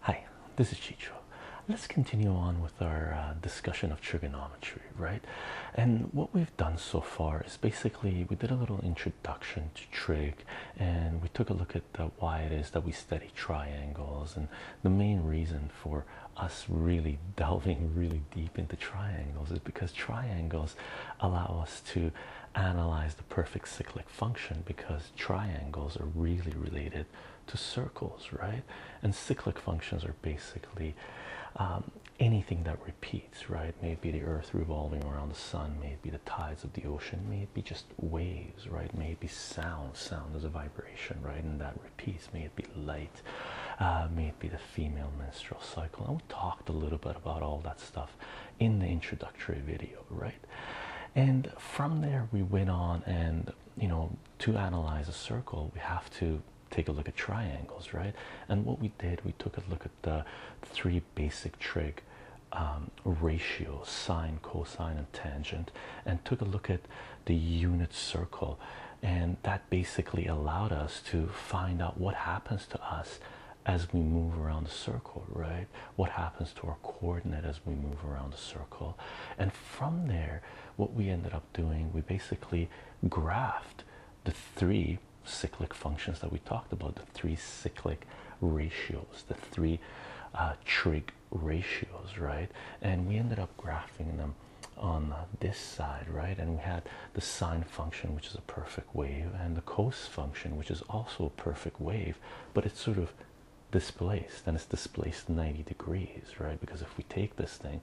Hi, this is Chicho. Let's continue on with our uh, discussion of trigonometry, right? And what we've done so far is basically we did a little introduction to trig and we took a look at uh, why it is that we study triangles and the main reason for us really delving really deep into triangles is because triangles allow us to analyze the perfect cyclic function because triangles are really related to circles, right? And cyclic functions are basically um, anything that repeats, right? Maybe the earth revolving around the sun, maybe the tides of the ocean, maybe just waves, right? Maybe sound. Sound is a vibration, right? And that repeats. May it be light, uh, may it be the female menstrual cycle talked a little bit about all that stuff in the introductory video, right? And from there, we went on, and you know, to analyze a circle, we have to take a look at triangles, right? And what we did, we took a look at the three basic trig um, ratios sine, cosine, and tangent, and took a look at the unit circle. And that basically allowed us to find out what happens to us as we move around the circle, right? What happens to our coordinate as we move around the circle. And from there, what we ended up doing, we basically graphed the three cyclic functions that we talked about, the three cyclic ratios, the three uh, trig ratios, right? And we ended up graphing them on this side, right? And we had the sine function, which is a perfect wave, and the cos function, which is also a perfect wave, but it's sort of displaced and it's displaced 90 degrees, right? Because if we take this thing,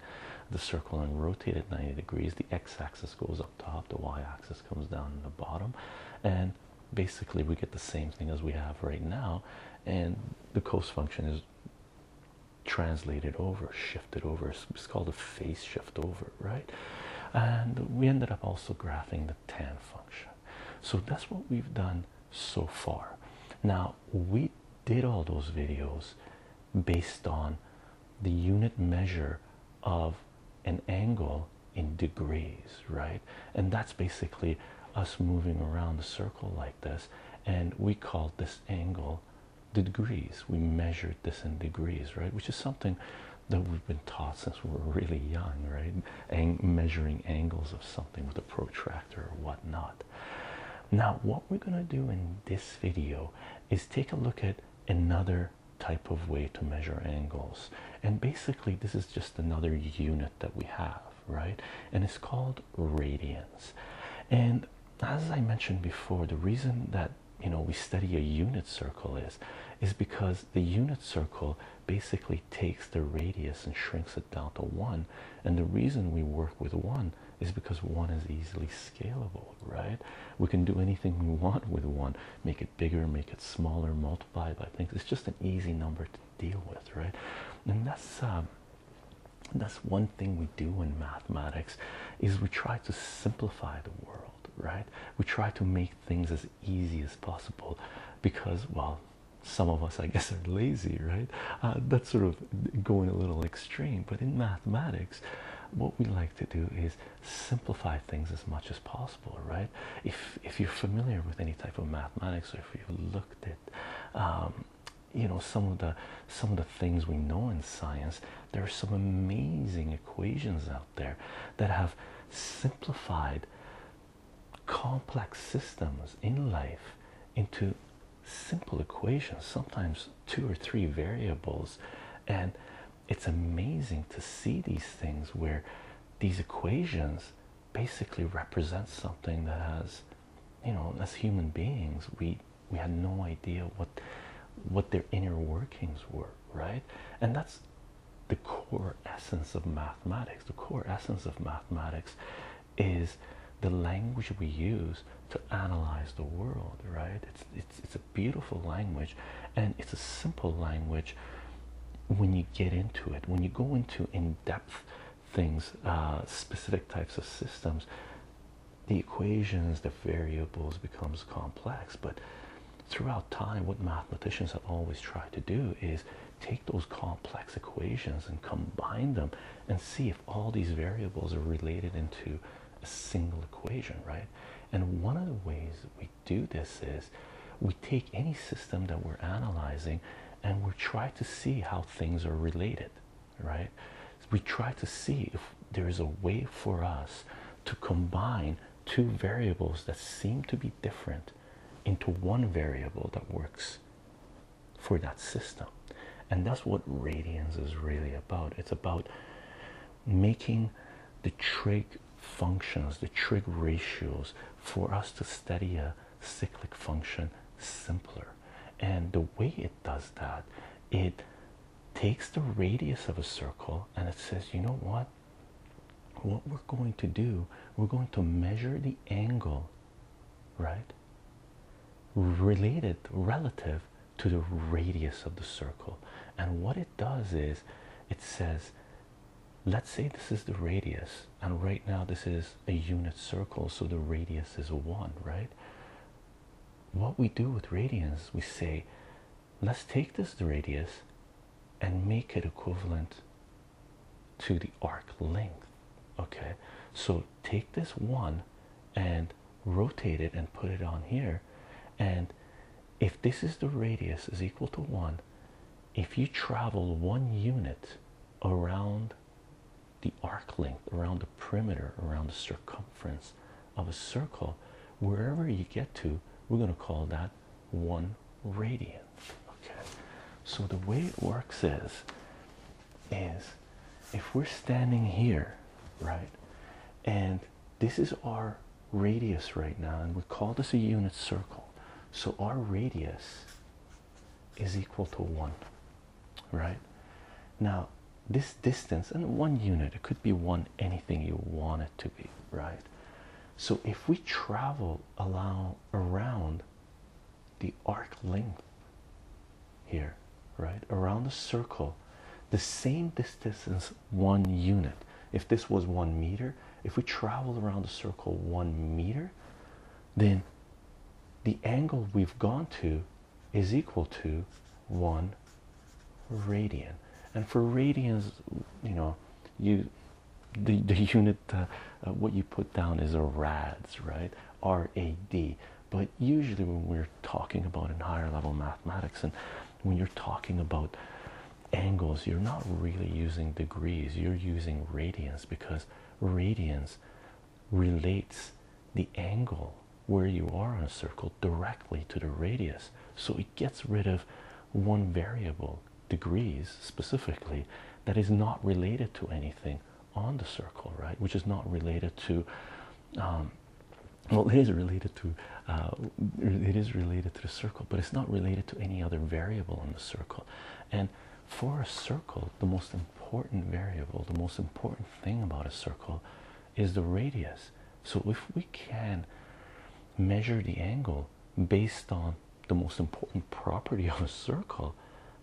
the circle, and rotate it 90 degrees, the x axis goes up top, the y axis comes down in the bottom, and basically we get the same thing as we have right now. And the cos function is translated over, shifted it over. It's called a phase shift over, right? And we ended up also graphing the tan function. So that's what we've done so far. Now, we did all those videos based on the unit measure of an angle in degrees, right? And that's basically us moving around the circle like this, and we called this angle degrees. We measured this in degrees, right? Which is something that we've been taught since we were really young, right? And measuring angles of something with a protractor or whatnot. Now, what we're going to do in this video is take a look at another type of way to measure angles. And basically, this is just another unit that we have, right? And it's called radians. And as I mentioned before, the reason that you know we study a unit circle is is because the unit circle basically takes the radius and shrinks it down to one and the reason we work with one is because one is easily scalable right we can do anything we want with one make it bigger make it smaller multiply by things it's just an easy number to deal with right and that's um, that's one thing we do in mathematics is we try to simplify the world right? We try to make things as easy as possible because, well, some of us, I guess, are lazy, right? Uh, that's sort of going a little extreme, but in mathematics, what we like to do is simplify things as much as possible, right? If if you're familiar with any type of mathematics, or if you've looked at, um, you know, some of the some of the things we know in science, there are some amazing equations out there that have simplified complex systems in life into simple equations, sometimes two or three variables. And it's amazing to see these things where these equations basically represent something that has you know as human beings we we had no idea what what their inner workings were right? And that's the core essence of mathematics. The core essence of mathematics is the language we use to analyze the world, right? It's, it's, it's a beautiful language and it's a simple language when you get into it. When you go into in depth things, uh, specific types of systems, the equations, the variables becomes complex. But throughout time, what mathematicians have always tried to do is take those complex equations and combine them and see if all these variables are related into a single equation, right? And one of the ways we do this is we take any system that we're analyzing and we try to see how things are related, right? We try to see if there is a way for us to combine two variables that seem to be different into one variable that works for that system. And that's what radians is really about. It's about making the trig functions, the trig ratios for us to study a cyclic function simpler. And the way it does that, it takes the radius of a circle and it says, you know what? What we're going to do, we're going to measure the angle, right? Related, relative to the radius of the circle. And what it does is it says, let's say this is the radius, and right now this is a unit circle, so the radius is one, right? What we do with radians, we say let's take this radius and make it equivalent to the arc length. Okay, so take this one and rotate it and put it on here. And if this is the radius is equal to one, if you travel one unit around the arc length, around the perimeter, around the circumference of a circle, wherever you get to we're going to call that one radian okay so the way it works is is if we're standing here right and this is our radius right now and we call this a unit circle so our radius is equal to one right now this distance and one unit it could be one anything you want to be, right? So if we travel allow around the arc length here, right around the circle, the same distance as one unit. If this was one meter, if we travel around the circle one meter, then the angle we've gone to is equal to one radian and for radians you know you the, the unit uh, uh, what you put down is a rads right r-a-d but usually when we're talking about in higher level mathematics and when you're talking about angles you're not really using degrees you're using radians because radians relates the angle where you are on a circle directly to the radius so gets rid of one variable, degrees specifically, that is not related to anything on the circle, right? Which is not related to, um, well, it is related to, uh, it is related to the circle, but it's not related to any other variable on the circle. And for a circle, the most important variable, the most important thing about a circle is the radius. So if we can measure the angle based on the most important property of a circle,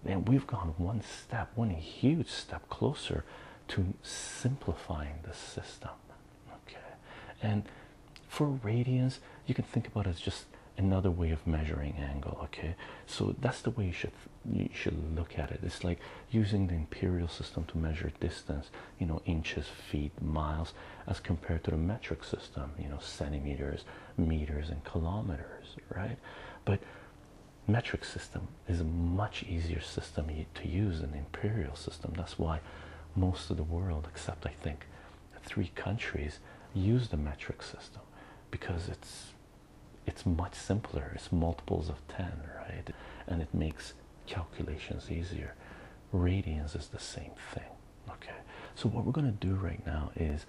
then we've gone one step, one huge step closer to simplifying the system. Okay, and for radians, you can think about it as just another way of measuring angle. Okay, so that's the way you should you should look at it. It's like using the imperial system to measure distance you know inches feet miles as compared to the metric system you know centimeters meters and kilometers right but metric system is a much easier system to use than imperial system that's why most of the world except i think three countries use the metric system because it's it's much simpler it's multiples of 10 right and it makes calculations easier. Radians is the same thing. Okay, so what we're going to do right now is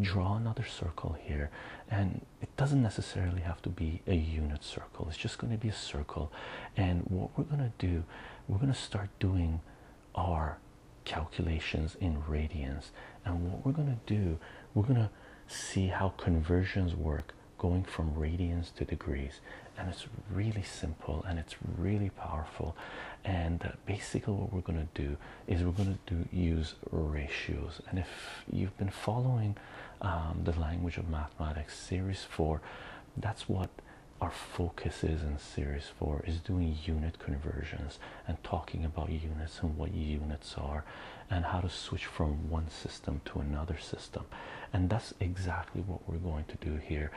draw another circle here, and it doesn't necessarily have to be a unit circle, it's just going to be a circle. And what we're going to do, we're going to start doing our calculations in radians. And what we're going to do, we're going to see how conversions work going from radians to degrees and it's really simple and it's really powerful and uh, basically what we're going to do is we're going to do use ratios and if you've been following um, the language of mathematics series 4 that's what our focus is in series 4 is doing unit conversions and talking about units and what units are and how to switch from one system to another system and that's exactly what we're going to do here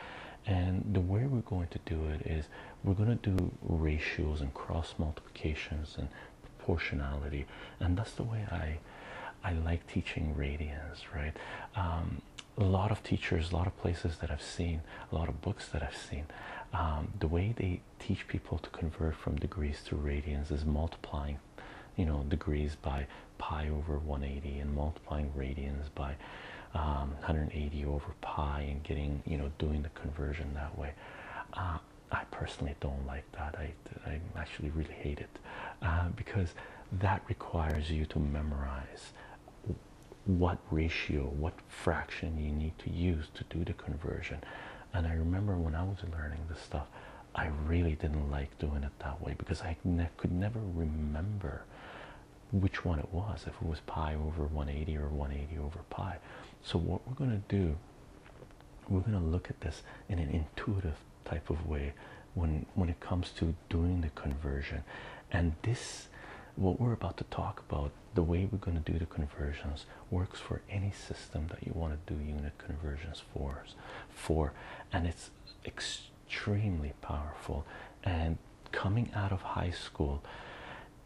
and the way we're going to do it is we're going to do ratios and cross multiplications and proportionality and that's the way i i like teaching radians right um, a lot of teachers a lot of places that i've seen a lot of books that i've seen um, the way they teach people to convert from degrees to radians is multiplying you know degrees by pi over 180 and multiplying radians by um, 180 over pi and getting you know doing the conversion that way uh, I personally don't like that I, I actually really hate it uh, because that requires you to memorize what ratio what fraction you need to use to do the conversion and I remember when I was learning this stuff I really didn't like doing it that way because I could never remember which one it was, if it was pi over 180 or 180 over pi. So what we're going to do, we're going to look at this in an intuitive type of way when when it comes to doing the conversion. And this what we're about to talk about, the way we're going to do the conversions works for any system that you want to do unit conversions for for and it's ex extremely powerful. And coming out of high school,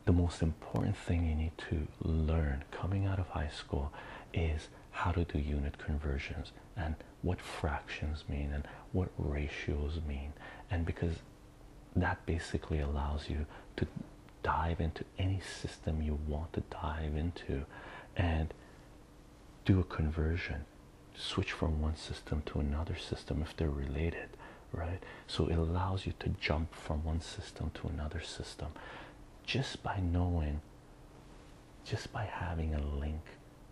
the most important thing you need to learn coming out of high school is how to do unit conversions and what fractions mean and what ratios mean. And because that basically allows you to dive into any system you want to dive into and do a conversion switch from one system to another system if they're related, right? So it allows you to jump from one system to another system just by knowing, just by having a link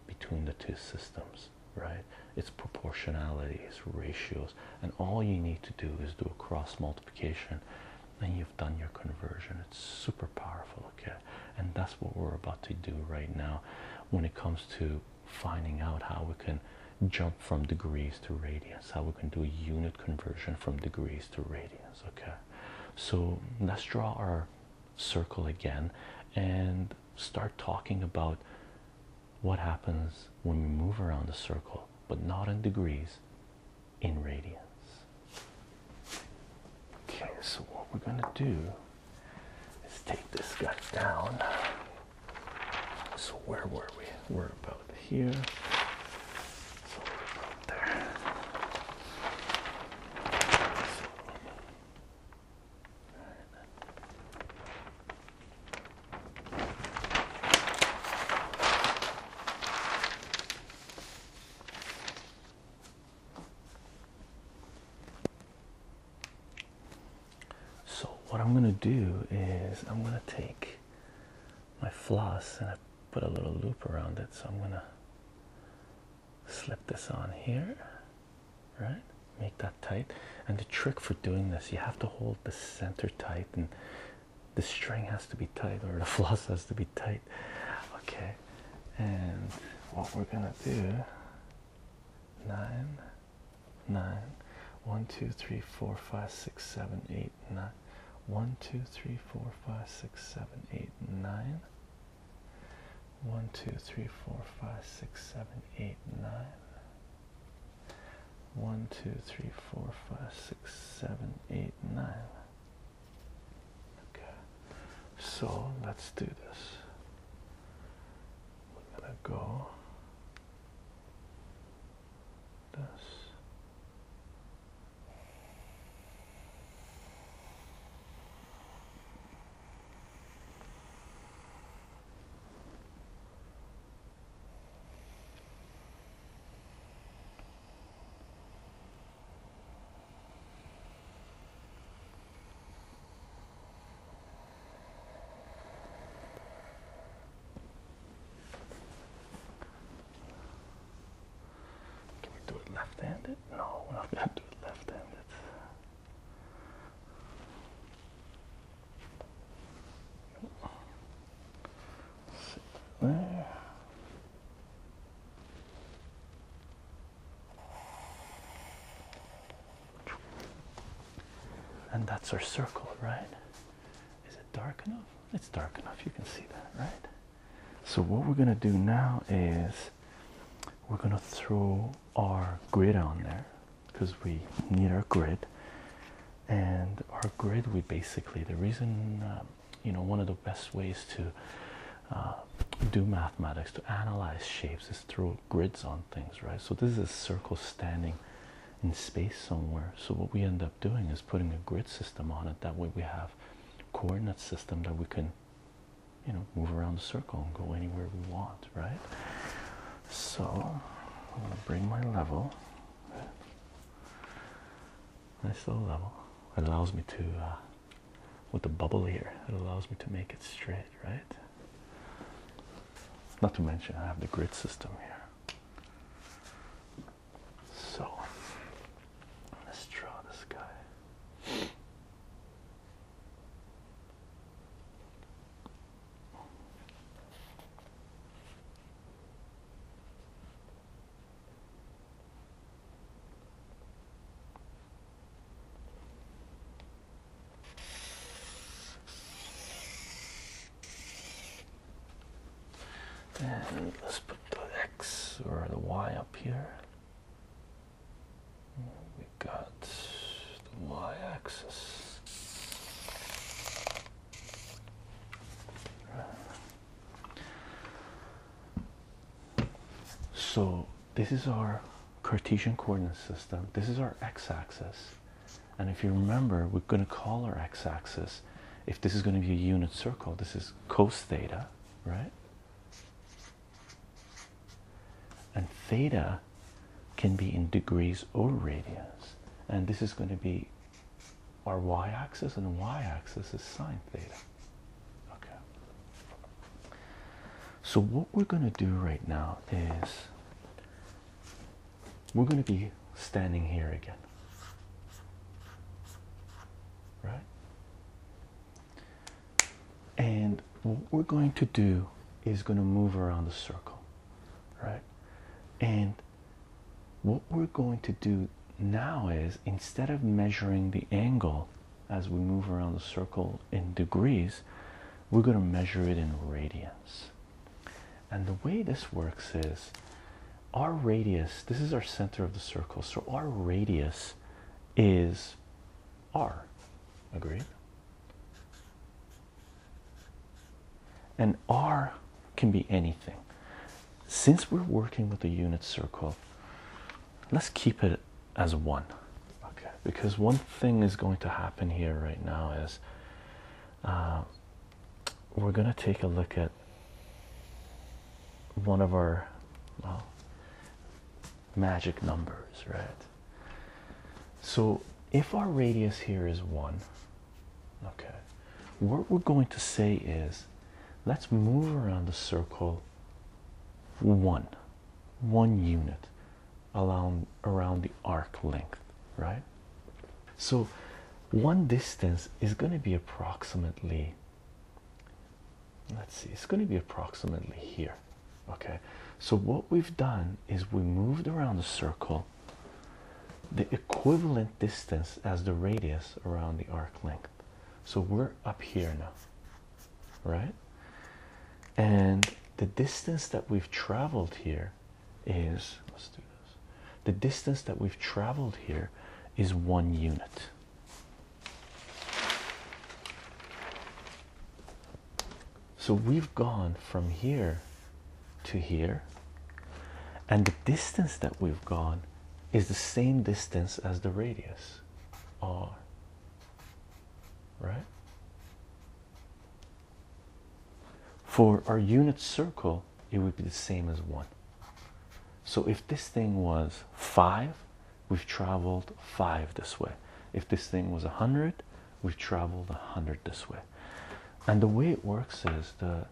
between the two systems, right? It's proportionality, it's ratios, and all you need to do is do a cross multiplication and you've done your conversion. It's super powerful, okay? And that's what we're about to do right now when it comes to finding out how we can jump from degrees to radians, how we can do a unit conversion from degrees to radians. Okay, so let's draw our circle again and start talking about what happens when we move around the circle, but not in degrees, in radians. Okay, so what we're gonna do Let's take this guy down. So where were we? We're about here. So there. So, what I'm going to do is I'm going to take my floss and I put a little loop around it. So, I'm going to slip this on here, right? Make that tight. And the trick for doing this, you have to hold the center tight and the string has to be tight or the floss has to be tight. Okay, and what we're going to do nine, nine, one, two, three, four, five, six, seven, eight, nine, one, two, three, four, five, six, seven, eight, nine, one, two, three, four, five, six, seven, eight, nine, one, two, three, four, five, six, seven, eight, nine. Okay, so let's do this we're going to go this. Can we do it left-handed? No, we're not going to do it left-handed. There. And that's our circle, right? Is it dark enough? It's dark enough, you can see that, right? So, what we're going to do now is we're going to throw our grid on there because we need our grid. And our grid, we basically, the reason, um, you know, one of the best ways to uh, do mathematics to analyze shapes is through grids on things, right? So this is a circle standing in space somewhere. So what we end up doing is putting a grid system on it. That way we have coordinate system that we can, you know, move around the circle and go anywhere we want, right? So I'm gonna bring my level. Right? Nice little level. It allows me to, uh, with the bubble here, it allows me to make it straight, right? Not to mention, I have the grid system here. So let's draw this guy. And let's put the X or the Y up here. We got the Y axis. So this is our Cartesian coordinate system. This is our x axis. And if you remember, we're going to call our x axis, if this is going to be a unit circle, this is cos theta, right? And theta can be in degrees or radians. And this is going to be our y axis, and y axis is sin theta. Okay. So, what we're going to do right now is we're going to be standing here again. Right? And what we're going to do is going to move around the circle. Right? And what we're going to do now is instead of measuring the angle as we move around the circle in degrees, we're going to measure it in radians. And the way this works is our radius, this is our center of the circle, so our radius is r. Agreed? And r can be anything. Since we're working with a unit circle, let's keep it as one. Okay, because one thing is going to happen here right now is uh, we're going to take a look at one of our magic numbers, right? So if our radius here is 1, okay, what we're going to say is let's move around the circle 1, 1 unit around around the arc length right so one distance is going to be approximately let's see it's going to be approximately here okay so what we've done is we moved around the circle the equivalent distance as the radius around the arc length so we're up here now right and the distance that we've traveled here here the distance that we've traveled here is one unit so we've gone from here to here and the distance that we've gone is the same distance as the radius r right for our unit circle, it would be the same as 1. So if this thing was 5, we've traveled 5 this way. If this thing was 100, we've traveled 100 this way. And the way it works is the,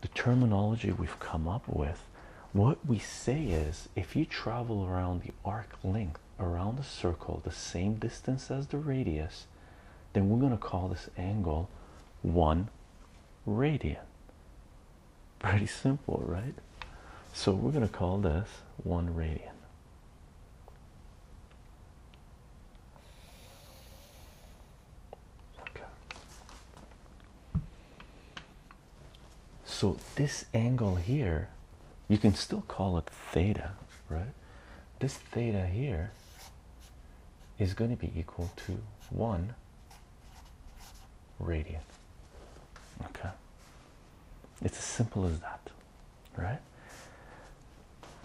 the terminology we've come up with. What we say is if you travel around the arc length around the circle the same distance as the radius, then we're going to call this angle 1 radian. Pretty simple, right? So we're going to call this 1 radian. So this angle here, you can still call it theta, right? This theta here is going to be equal to 1 radian. Okay? It's as simple as that, right?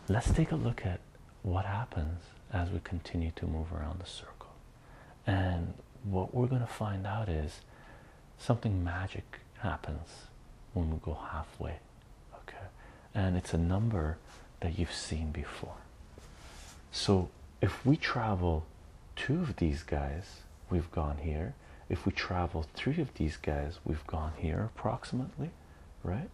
Let's take a look at what happens as we continue to move around the circle. And what we're going to find out is something magic happens when we go halfway okay and it's a number that you've seen before so if we travel two of these guys we've gone here if we travel three of these guys we've gone here approximately right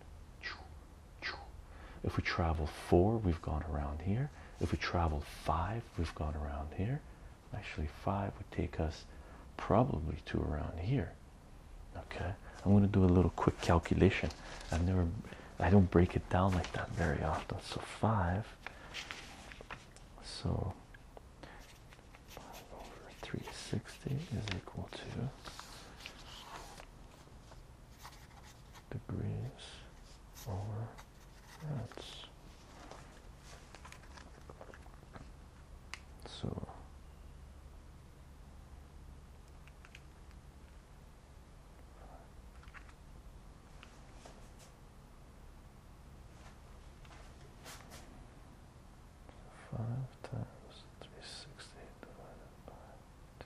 if we travel four we've gone around here if we travel five we've gone around here actually five would take us probably two around here okay i'm going to do a little quick calculation i've never i don't break it down like that very often so five so over 360 is equal to degrees over that's so five times three sixty divided by two.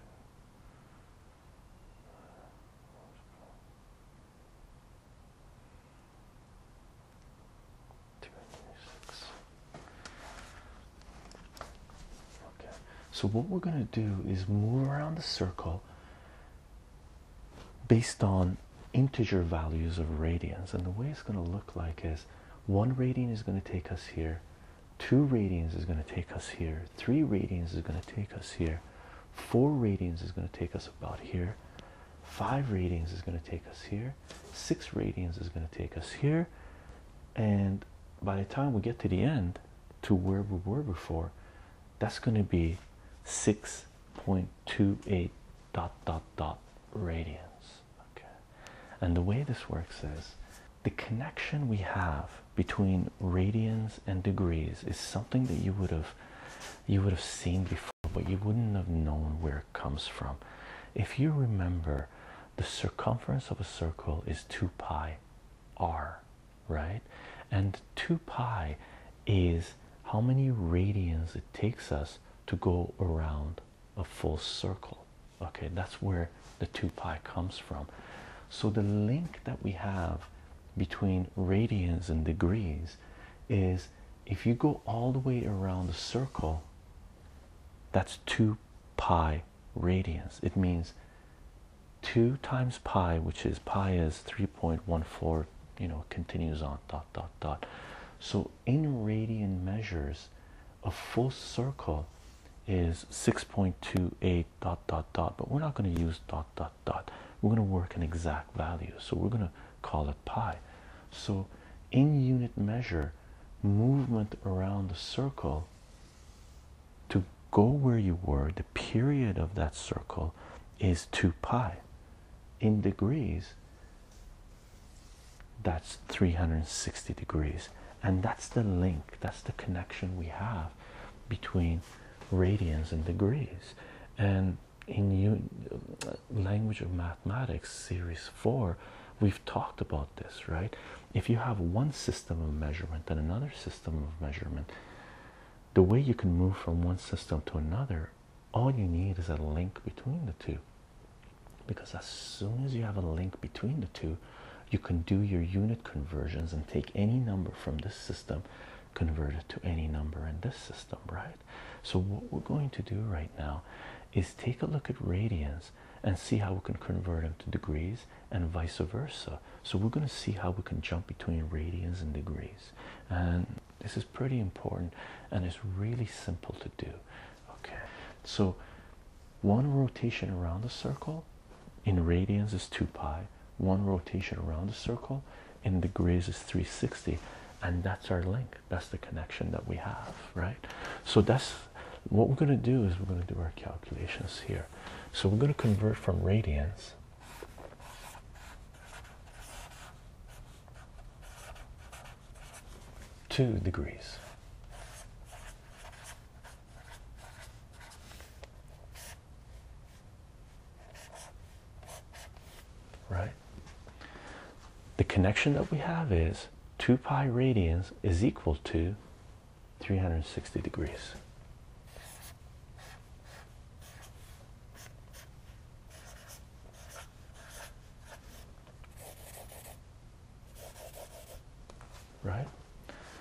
Two hundred six. Okay, so what we're going to do is move around the circle based on integer values of radians, and the way it's going to look like is one radian is going to take us here, two radians is going to take us here, three radians is going to take us here, four radians is going to take us about here. Five radians is going to take us here, six radians is going to take us here, and by the time we get to the end to where we were before that's going to be 6.28 dot dot dot radians okay and the way this works is the connection we have between radians and degrees is something that you would have you would have seen before but you wouldn't have known where it comes from if you remember the circumference of a circle is 2 pi r, right? And 2 pi is how many radians it takes us to go around a full circle. Okay, that's where the 2 pi comes from. So the link that we have between radians and degrees is if you go all the way around the circle, that's 2 pi radians. It means 2 times pi, which is pi is 3.14, you know, continues on, dot, dot, dot. So in radian measures, a full circle is 6.28 dot dot dot, but we're not going to use dot dot dot. We're going to work an exact value, so we're going to call it pi. So in unit measure, movement around the circle to go where you were, the period of that circle is 2 pi. In degrees, that's 360 degrees. And that's the link, that's the connection we have between radians and degrees. And in uh, language of mathematics, series four, we've talked about this, right? If you have one system of measurement and another system of measurement, the way you can move from one system to another, all you need is a link between the two. Because as soon as you have a link between the two, you can do your unit conversions and take any number from this system, convert it to any number in this system, right? So, what we're going to do right now is take a look at radians and see how we can convert them to degrees and vice versa. So we're going to see how we can jump between radians and degrees. And this is pretty important and it's really simple to do. Okay. So one rotation around the circle in radians is 2 pi. One rotation around the circle in degrees is 360 and that's our link that's the connection that we have right so that's what we're going to do is we're going to do our calculations here. So we're going to convert from radians to degrees. Right? The connection that we have is 2 pi radians is equal to 360 degrees. Right?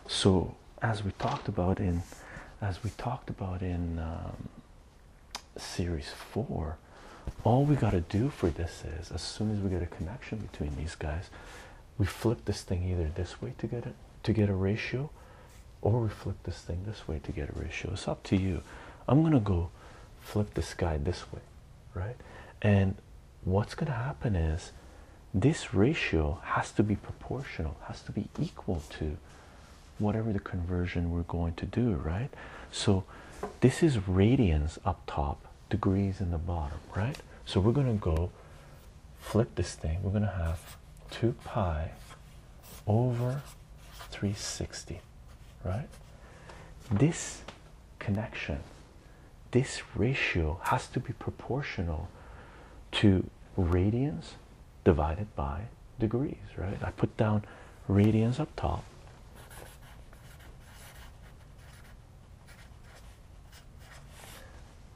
So, as we talked about in, as we talked about in um, series four, all we got to do for this is, as soon as we get a connection between these guys, we flip this thing either this way to get it to get a ratio or we flip this thing this way to get a ratio it's up to you i'm gonna go flip this guy this way right and what's gonna happen is this ratio has to be proportional has to be equal to whatever the conversion we're going to do right so this is radians up top degrees in the bottom, right? So we're going to go flip this thing. We're going to have 2 pi over 360, right? This connection, this ratio has to be proportional to radians divided by degrees, right? I put down radians up top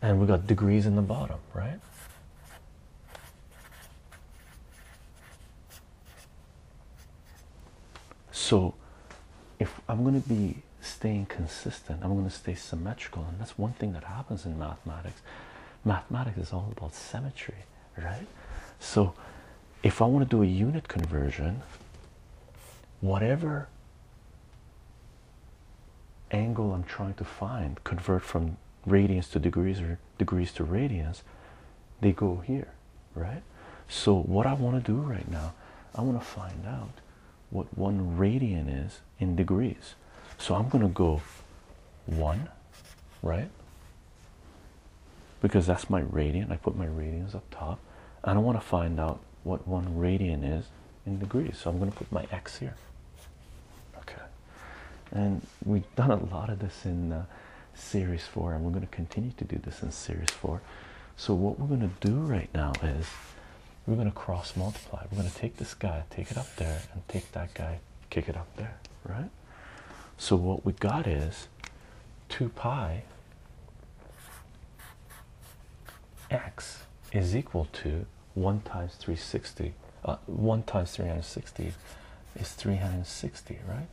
and we got degrees in the bottom, right? So, if I'm going to be staying consistent, I'm going to stay symmetrical, and that's one thing that happens in mathematics. Mathematics is all about symmetry, right? So, if I want to do a unit conversion, whatever angle I'm trying to find, convert from radians to degrees or degrees to radians, they go here, right? So, what I want to do right now, I want to find out what one radian is in degrees. So, I'm going to go one, right? Because that's my radian. I put my radians up top. I don't want to find out what one radian is in degrees. So I'm going to put my x here. Okay. And we've done a lot of this in uh, series four, and we're going to continue to do this in series four. So what we're going to do right now is we're going to cross multiply. We're going to take this guy, take it up there, and take that guy, kick it up there, right? So what we got is 2 pi x is equal to 1 times 360 uh, 1 times 360 is 360 right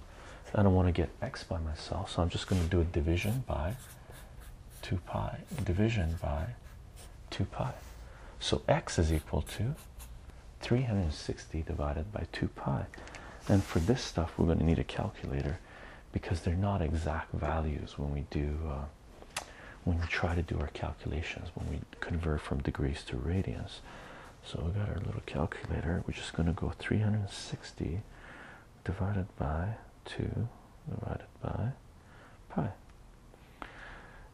i don't want to get x by myself so i'm just going to do a division by 2 pi division by 2 pi so x is equal to 360 divided by 2 pi and for this stuff we're going to need a calculator because they're not exact values when we do uh, when we try to do our calculations when we convert from degrees to radians. So we got our little calculator. We're just going to go 360 divided by 2 divided by pi.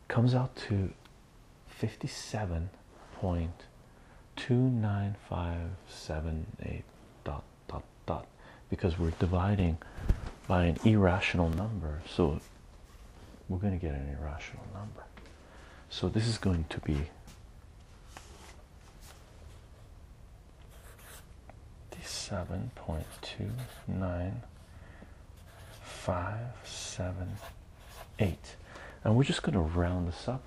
Comes out to 57.29578 dot dot dot because we're dividing by an irrational number. So we're going to get an irrational number. So this is going to be seven point two nine five seven eight. And we're just going to round this up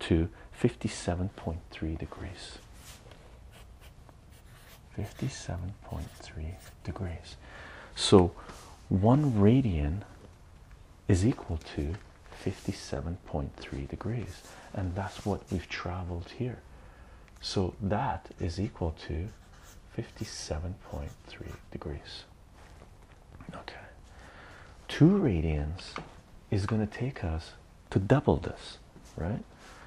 to 57.3 degrees. 57.3 degrees. So one radian is equal to 57.3 degrees, and that's what we've traveled here. So that is equal to 57.3 degrees. Okay, two radians is going to take us to double this right?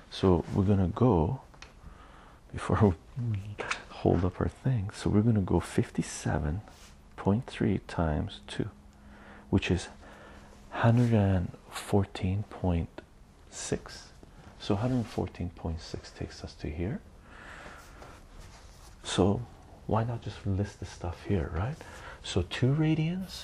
So we're gonna go before we hold up our thing. So we're gonna go 57.3 times 2, which is 114.6. So 114.6 takes us to here. So why not just list the stuff here, right? So two radians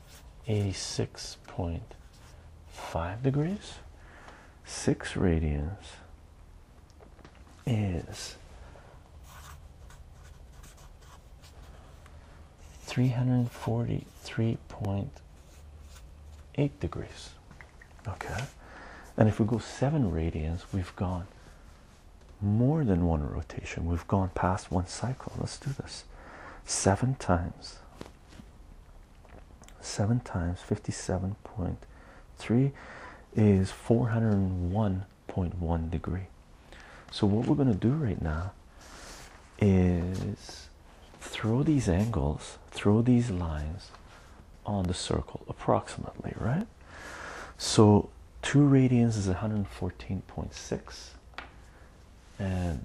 86.5 degrees. 6 radians is 343.8 degrees. Okay. And if we go 7 radians, we've gone more than one rotation. We've gone past one cycle. Let's do this seven times. Seven times 57.3 is 401.1 degree. So, what we're going to do right now is throw these angles, throw these lines on the circle approximately, right? So, 2 radians is 114.6, and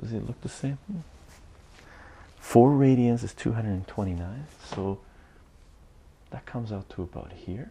Does it look the same? Four radians is 229, so that comes out to about here.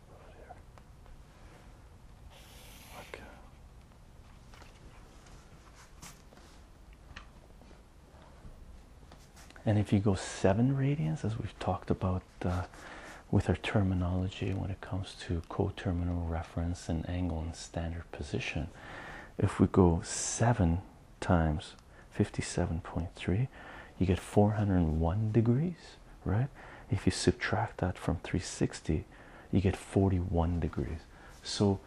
And if you go seven radians, as we've talked about uh, with our terminology when it comes to coterminal reference and angle and standard position, if we go seven times 57.3, you get 401 degrees right? If you subtract that from 360, you get 41 degrees. So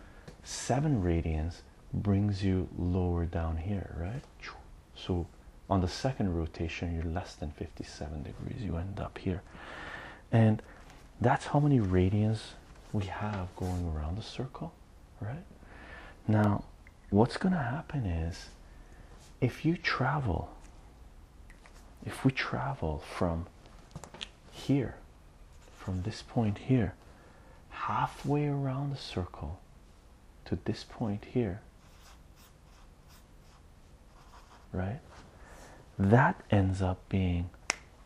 7 radians brings you lower down here, right? So on the second rotation, you're less than 57 degrees. You end up here. And that's how many radians we have going around the circle, right? Now, what's going to happen is if you travel if we travel from here, from this point here, halfway around the circle to this point here, right? That ends up being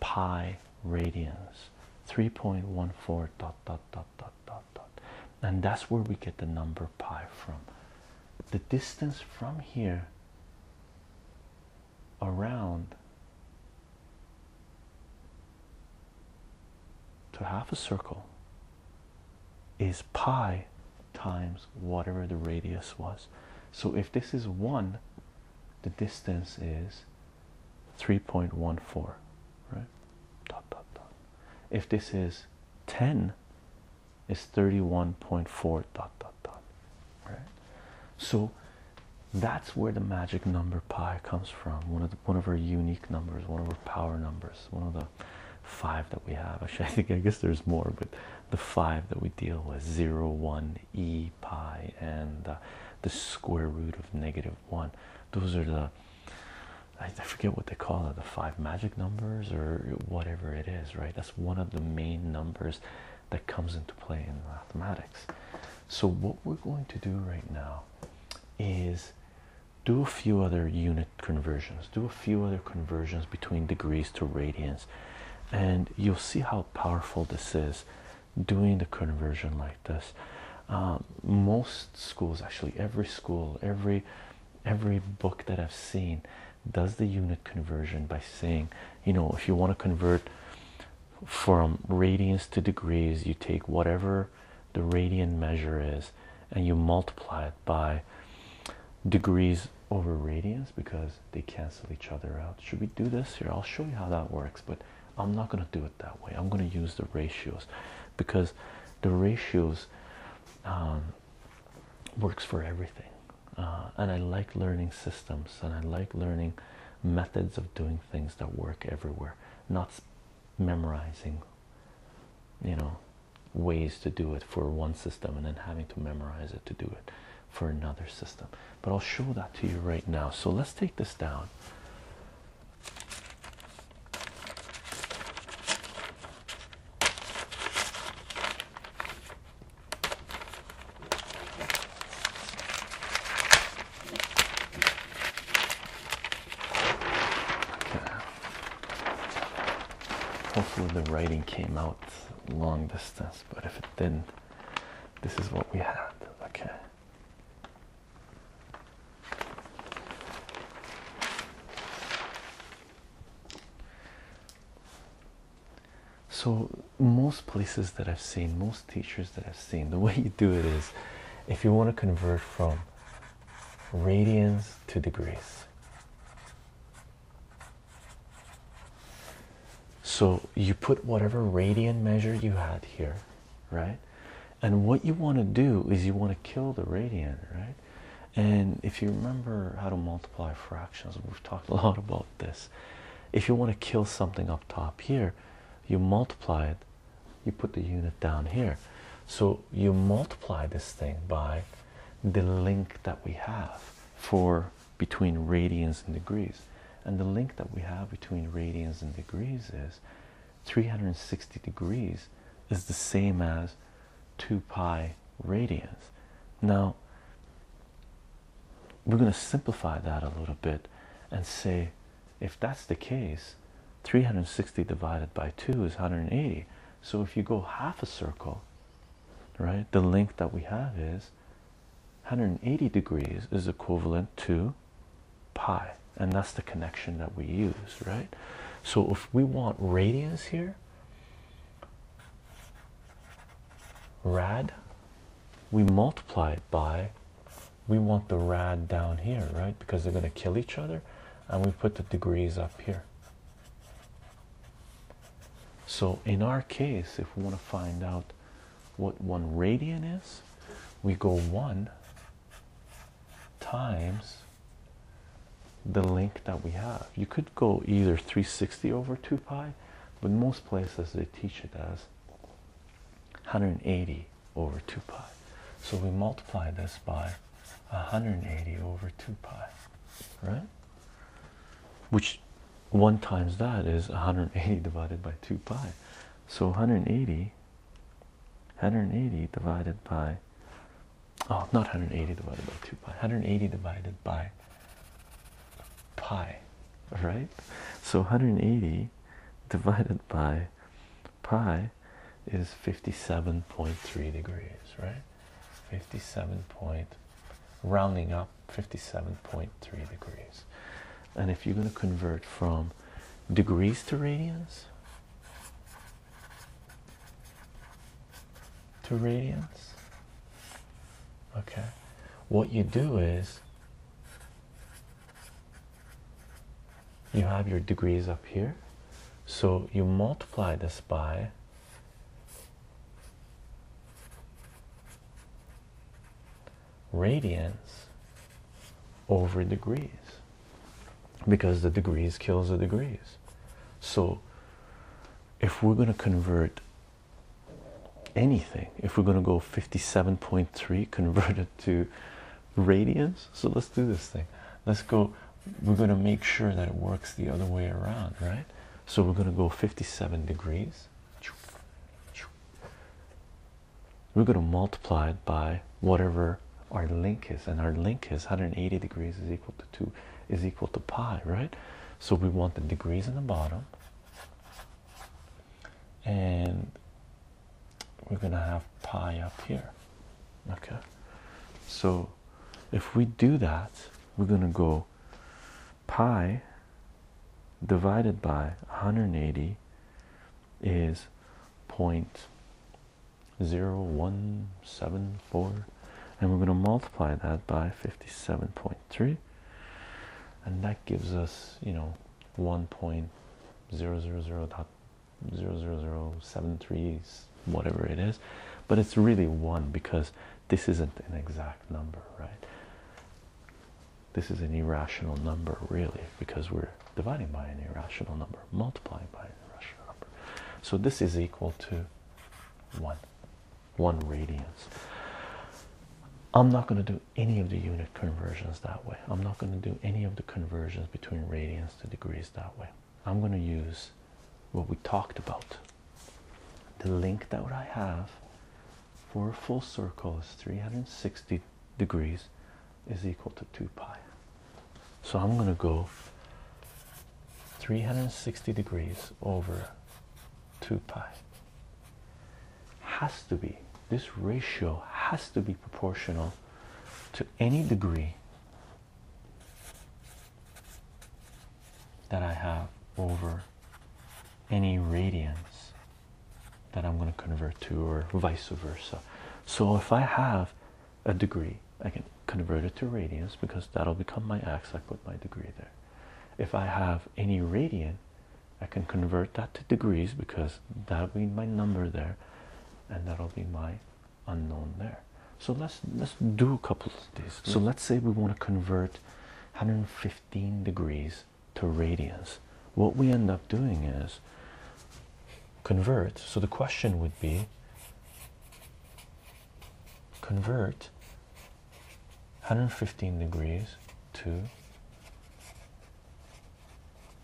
pi radians 3.14 dot dot dot dot dot dot and that's where we get the number pi from. The distance from here around to half a circle is pi times whatever the radius was. So if this is 1, the distance is 3.14, right? If this is 10, is 31.4 dot dot dot right so that's where the magic number pi comes from one of one of our unique numbers one of our power numbers one of the five that we have actually i think i guess there's more but the five that we deal with 0 1 e pi and uh, the square root of negative 1 those are the i I forget what they call it the five magic numbers or whatever it is, right? That's one of the main numbers that comes into play in mathematics. So, what we're going to do right now is do a few other unit conversions, do a few other conversions between degrees to radians, and you'll see how powerful this is doing the conversion like this. Um, most schools, actually, every school, every every book that I've seen does the unit conversion by saying, you know, if you want to convert from radians to degrees, you take whatever the radian measure is and you multiply it by degrees over radians because they cancel each other out. Should we do this here? I'll show you how that works, but I'm not going to do it that way. I'm going to use the ratios because the ratios um, works for everything. Uh, and I like learning systems and I like learning methods of doing things that work everywhere, not memorizing, you know, ways to do it for one system and then having to memorize it to do it for another system. But I'll show that to you right now. So let's take this down. Hopefully the writing came out long distance, but if it didn't, this is what we had. Okay. So, most places that I've seen, most teachers that I've seen, the way you do it is if you want to convert from radians to degrees. So, you put whatever radian measure you had here, right? And what you want to do is you want to kill the radian, right? And if you remember how to multiply fractions, we've talked a lot about this. If you want to kill something up top here, you multiply it, you put the unit down here. So you multiply this thing by the link that we have for between radians and degrees. And the link that we have between radians and degrees is 360 degrees is the same as 2 pi radians. Now, we're going to simplify that a little bit and say if that's the case, 360 divided by 2 is 180. So if you go half a circle, right, the length that we have is 180 degrees is equivalent to pi. And that's the connection that we use, right? So if we want radians here, rad we multiply it by we want the rad down here right because they're going to kill each other and we put the degrees up here so in our case if we want to find out what one radian is we go one times the link that we have. You could go either 360 over 2 pi, but most places they teach it as 180 over 2 pi. So we multiply this by 180 over 2 pi, right? Which 1 times that is 180 divided by 2 pi. So 180, 180 divided by oh not 180 divided by 2 pi 180 divided by pi right so 180 divided by pi is 57.3 degrees right 57 rounding up 57.3 degrees and if you're going to convert from degrees to radians to radians? Okay, what you do is you have your degrees up here, so you multiply this by. Radians over degrees because the degrees kills the degrees. So if we're going to convert anything, if we're going to go 57.3 converted to radians, so let's do this thing. Let's go, we're going to make sure that it works the other way around, right? So we're going to go 57 degrees. We're going to multiply it by whatever our link is, and our link is 180 degrees is equal to. 2 is equal to pi, right? So we want the degrees in the bottom, and we're gonna have pi up here, okay? So if we do that, we're gonna go pi divided by 180 is point zero one seven and we're going to multiply that by 57.3 and that gives us you know 1.000.00073 whatever it is but it's really 1 because this isn't an exact number right this is an irrational number really because we're dividing by an irrational number multiplying by an irrational number so this is equal to 1 one radians. I'm not going to do any of the unit conversions that way. I'm not going to do any of the conversions between radians to degrees that way. I'm going to use what we talked about. The link that I have for a full circle is 360 degrees is equal to 2 pi. So I'm going to go 360 degrees over 2 pi has to be this ratio has to be proportional to any degree that I have over any radians that I'm going to convert to, or vice versa. So if I have a degree, I can convert it to radians because that'll become my x. I put my degree there. If I have any radian, I can convert that to degrees because that'll be my number there, and that'll be my unknown there. So let's let's do a couple of these. So mm-hmm. let's say we want to convert 115 degrees to radians. What we end up doing is convert. So the question would be convert 115 degrees to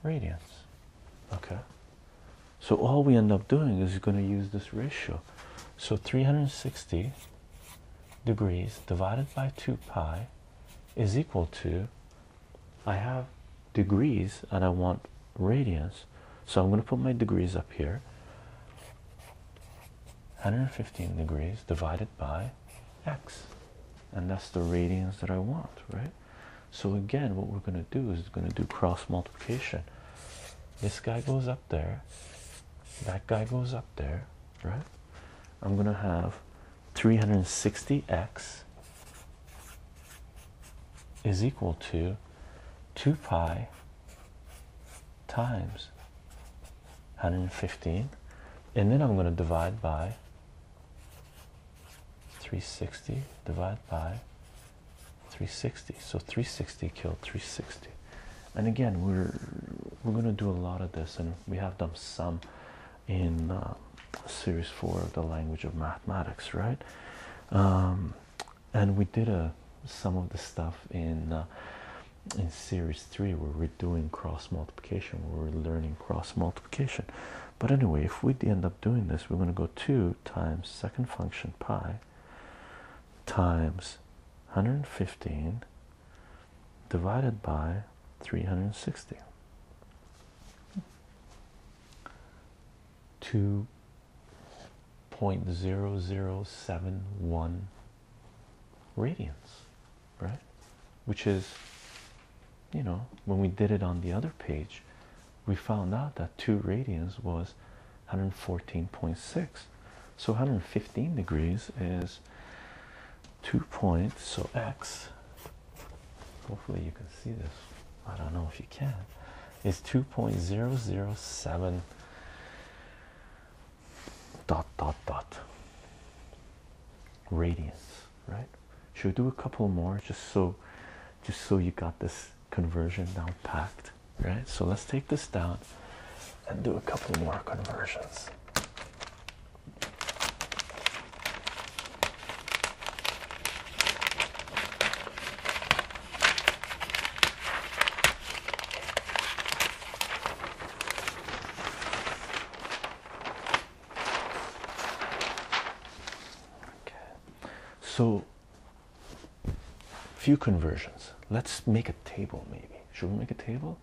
radians. Okay, so all we end up doing is going to use this ratio. So 360 degrees divided by 2 pi is equal to I have degrees and I want radians. So I'm going to put my degrees up here. 115 degrees divided by x and that's the radians that I want right so again what we're going to do is going to do cross multiplication this guy goes up there that guy goes up there right I'm going to have 360x is equal to 2 pi times 115 and then I'm going to divide by 360 divide by 360 so 360 killed 360 and again we're we're going to do a lot of this and we have done some in um, series 4 of the language of mathematics right um, and we did uh, some of the stuff in uh, in series three where we're doing cross multiplication, where we're learning cross multiplication. But anyway, if we end up doing this, we're going to go 2 times second function pi times 115 divided by 360. point zero zero seven one radians, right? Which is, you know, when we did it on the other page, we found out that 2 radians was 114.6. So 115 degrees is 2 points. So x, hopefully you can see this. I don't know if you can. Is 2.007 dot dot dot Radiance, right should we do a couple more just so just so you got this conversion down packed right so let's take this down and do a couple more conversions Okay, so few conversions. Let's make a table, maybe. Should we make a table?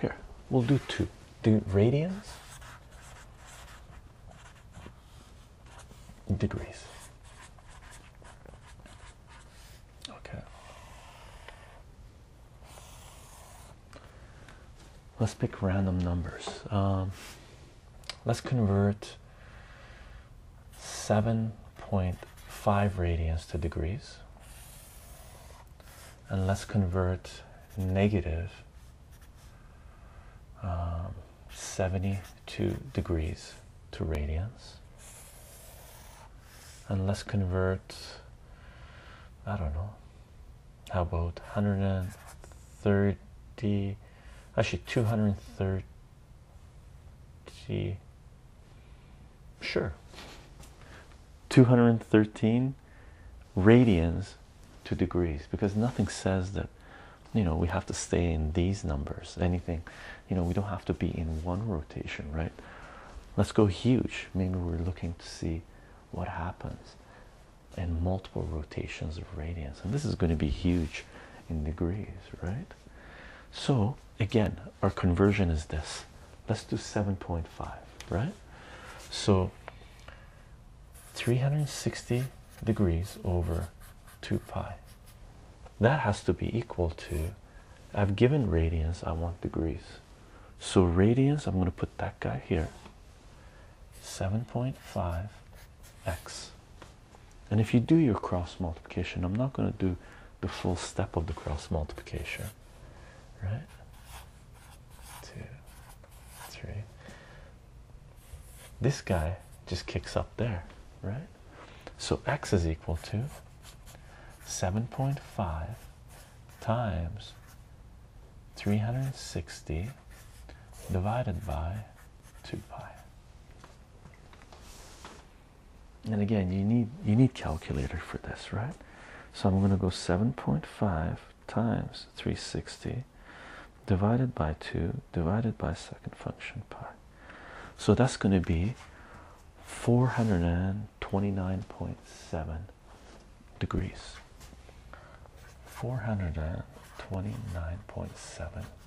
Here, we'll do two. Do radians, degrees. Okay. Let's pick random numbers. Um, let's convert 7.5 radians to degrees. And let's convert negative, um, 72 degrees to radians. And let's convert I don't know. How about 130? Actually, 230. Sure. 213 radians to degrees because nothing says that you know we have to stay in these numbers anything you know we don't have to be in one rotation right let's go huge maybe we're looking to see what happens in multiple rotations of radians and this is going to be huge in degrees right so again our conversion is this let's do 7.5 right so 360 degrees over 2 pi that has to be equal to I've given radians I want degrees so radians, I'm going to put that guy here. 7.5x. And if you do your cross multiplication, I'm not going to do the full step of the cross multiplication, right? Two, three. This guy just kicks up there, right? So x is equal to 7.5 times 360 divided by 2 pi and again you need you need calculator for this right so i'm going to go 7.5 times 360 divided by 2 divided by second function pi so that's going to be 400 and Twenty-nine point seven degrees. 429.7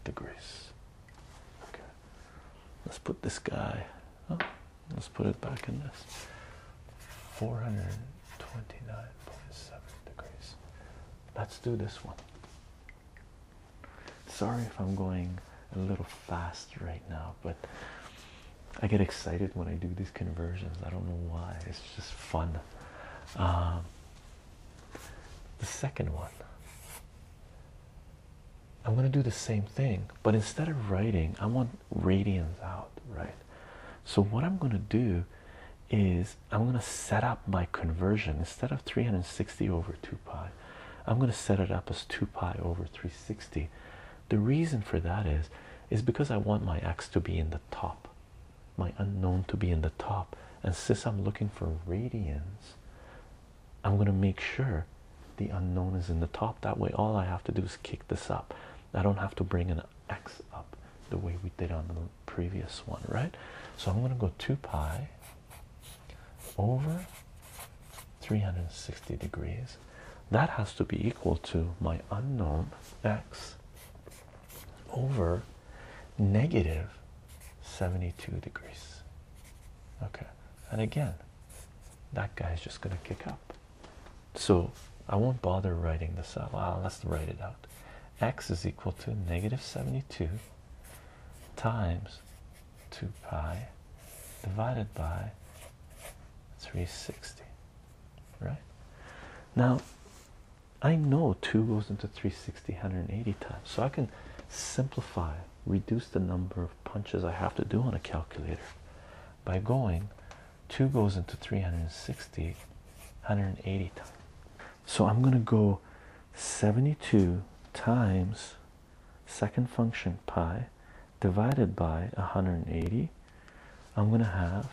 degrees. Okay. Let's put this guy. Oh, let's put it back in this. 429.7 degrees. Let's do this one. Sorry if I'm going a little fast right now, but I get excited when I do these conversions. I don't know why. It's just fun. Um, the second one. I'm going to do the same thing, but instead of writing, I want radians out, right? So, what I'm going to do is I'm going to set up my conversion instead of 360 over 2 pi, I'm going to set it up as 2 pi over 360 the reason for that is is because I want my x to be in the top, my unknown to be in the top. And since I'm looking for radians, I'm going to make sure the unknown is in the top. That way, all I have to do is kick this up. I don't have to bring an x up the way we did on the previous one, right? So I'm going to go 2 pi over 360 degrees that has to be equal to my unknown x over negative 72 degrees okay and again that guy is just going to kick up so i won't bother writing this out well, let's write it out x is equal to negative 72 times 2 pi divided by 360 right? Now, I know 2 goes into 360 180 times, so I can simplify, reduce the number of punches I have to do on a calculator by going 2 goes into 360 180 times. So I'm going to go 72 times second function pi divided by 180 i'm going to have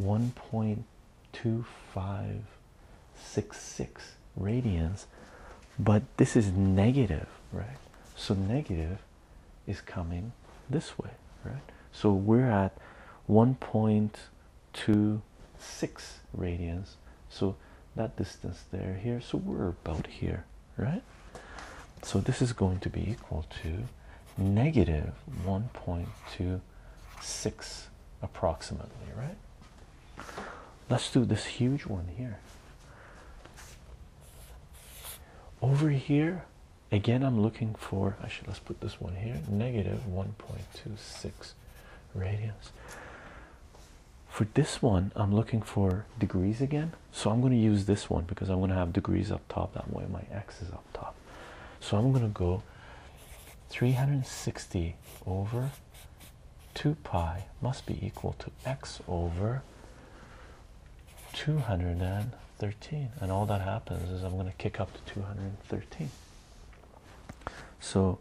1.2566 radians but this is negative right so negative is coming this way right so we're at 1.26 radians so that distance there here so we're about here right? So this is going to be equal to negative 1.26 approximately, right? Let's do this huge one here. Over here, again, I'm looking for, actually, let's put this one here, negative 1.26 radians. For this one, I'm looking for degrees again. So I'm going to use this one because I'm going to have degrees up top that way my x is up top so i'm going to go 360 over 2 pi must be equal to x over 213 and all that happens is i'm going to kick up to 213 so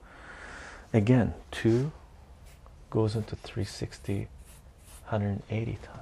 again 2 goes into 360 180 times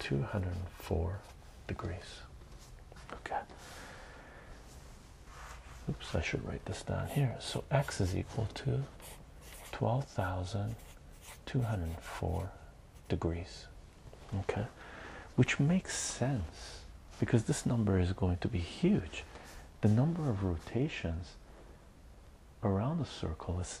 204 degrees. Okay. Oops, I should write this down here. So x is equal to 12,204 degrees. Okay. Which makes sense because this number is going to be huge. The number of rotations around the circle is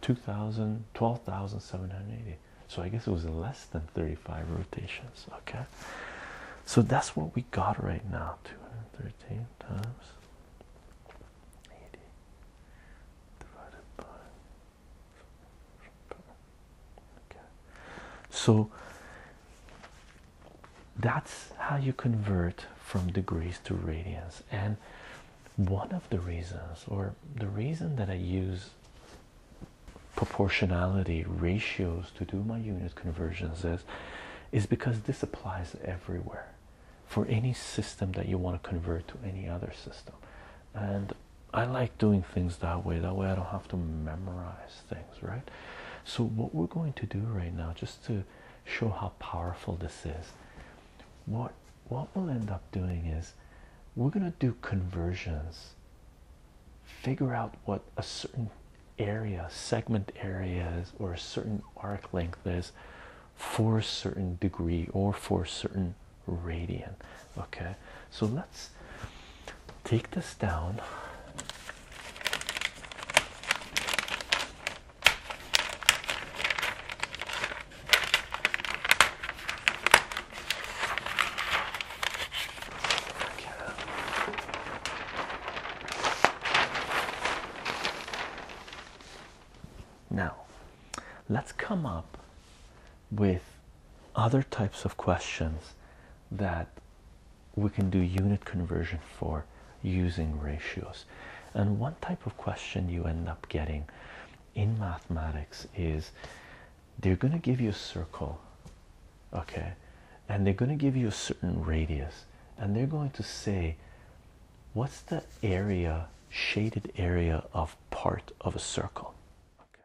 2,000, 12,780. So I guess it was less than 35 rotations. Okay, so that's what we got right now 213 times 80 divided by. Okay, so that's how you convert from degrees to radians and one of the reasons, or the reason that I use proportionality ratios to do my unit conversions is, is because this applies everywhere for any system that you want to convert to any other system. And I like doing things that way. That way I don't have to memorize things, right? So what we're going to do right now, just to show how powerful this is, what what we'll end up doing is we're going to do conversions, figure out what a certain area, segment areas, or a certain arc length is for a certain degree or for a certain radian. Okay, so let's take this down. Now, let's come up with other types of questions that we can do unit conversion for using ratios. And one type of question you end up getting in mathematics is they're going to give you a circle, okay, and they're going to give you a certain radius, and they're going to say, What's the area, shaded area of part of a circle? Okay.